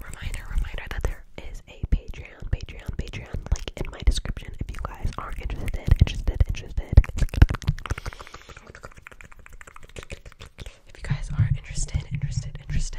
Reminder, reminder that there is a Patreon, Patreon, Patreon link in my description if you guys are interested, interested, interested. If you guys are interested, interested, interested.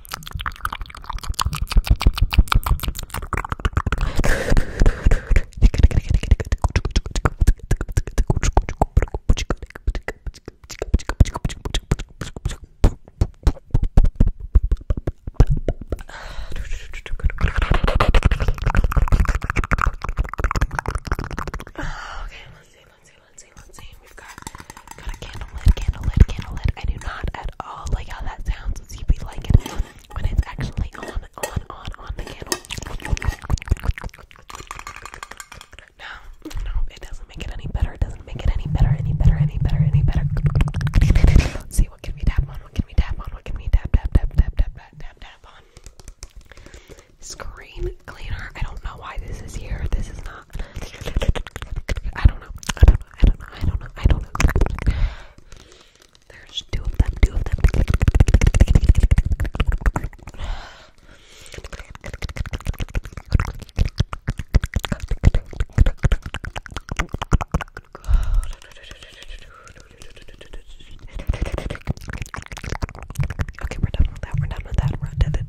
Okay, let's see, let's see, let's see, let's see. We've got got a candle lid, candle lid, candle lid. I do not at all like how that sounds. So you be like it when it's actually on, on, on, on the candle. No, no, it doesn't make it any better. It doesn't make it any better, any better, any better, any better. see what can we tap on? What can we tap on? What can we tap, tap, tap, tap, tap, tap, tap, on? Screen cleaner. I don't know why this is here. This is not. I don't know. I don't know. I don't know. I don't know. I don't know. There's two of them. Two of them. Okay, we're done with that. We're done with that. We're done.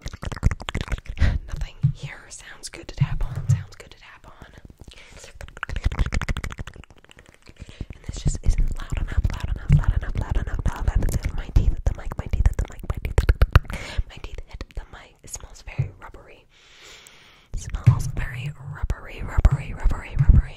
Nothing here sounds good to tap on, sounds good to tap on. And this just isn't loud enough, loud enough, loud enough, loud enough, loud enough. Loud enough. My teeth at the mic, my teeth at the mic, my teeth at the mic. It smells very rubbery. smells very rubbery, rubbery, rubbery, rubbery.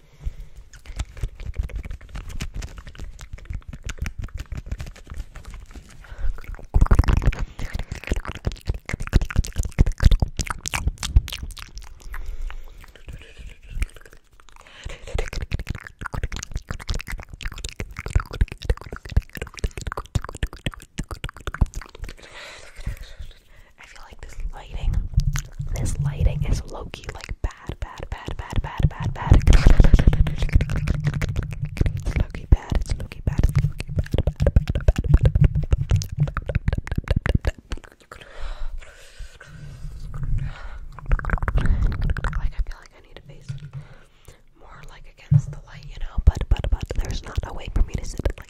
I feel like this lighting, this lighting is low key like bad, bad, bad, bad, bad, bad, bad. It's looking bad. It's looking bad. It's looking bad. bad, bad, bad, bad. Like I feel like I need to face more like against the light, you know. But but but there's not a way for me to sit like.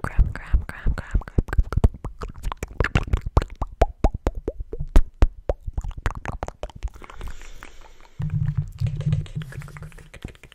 Grab, grab, grab, grab, grab.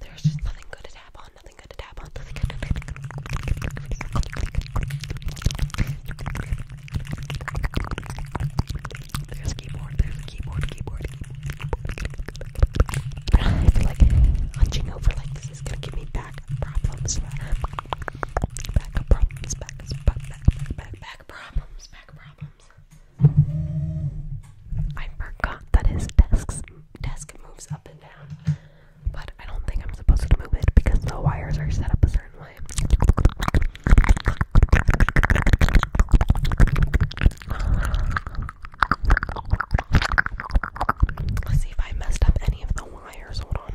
There's just nothing good to tap on, nothing good to tap on, nothing good to tap on. There's a keyboard, there's a keyboard, keyboard, keyboard. But I feel like hunching over like this is gonna give me back problems. Back problems, back, back, back, back, back problems, back problems. I forgot that his desk's desk moves up and down. But I don't think I'm supposed to move it because the wires are set up a certain way. Let's see if I messed up any of the wires. Hold on.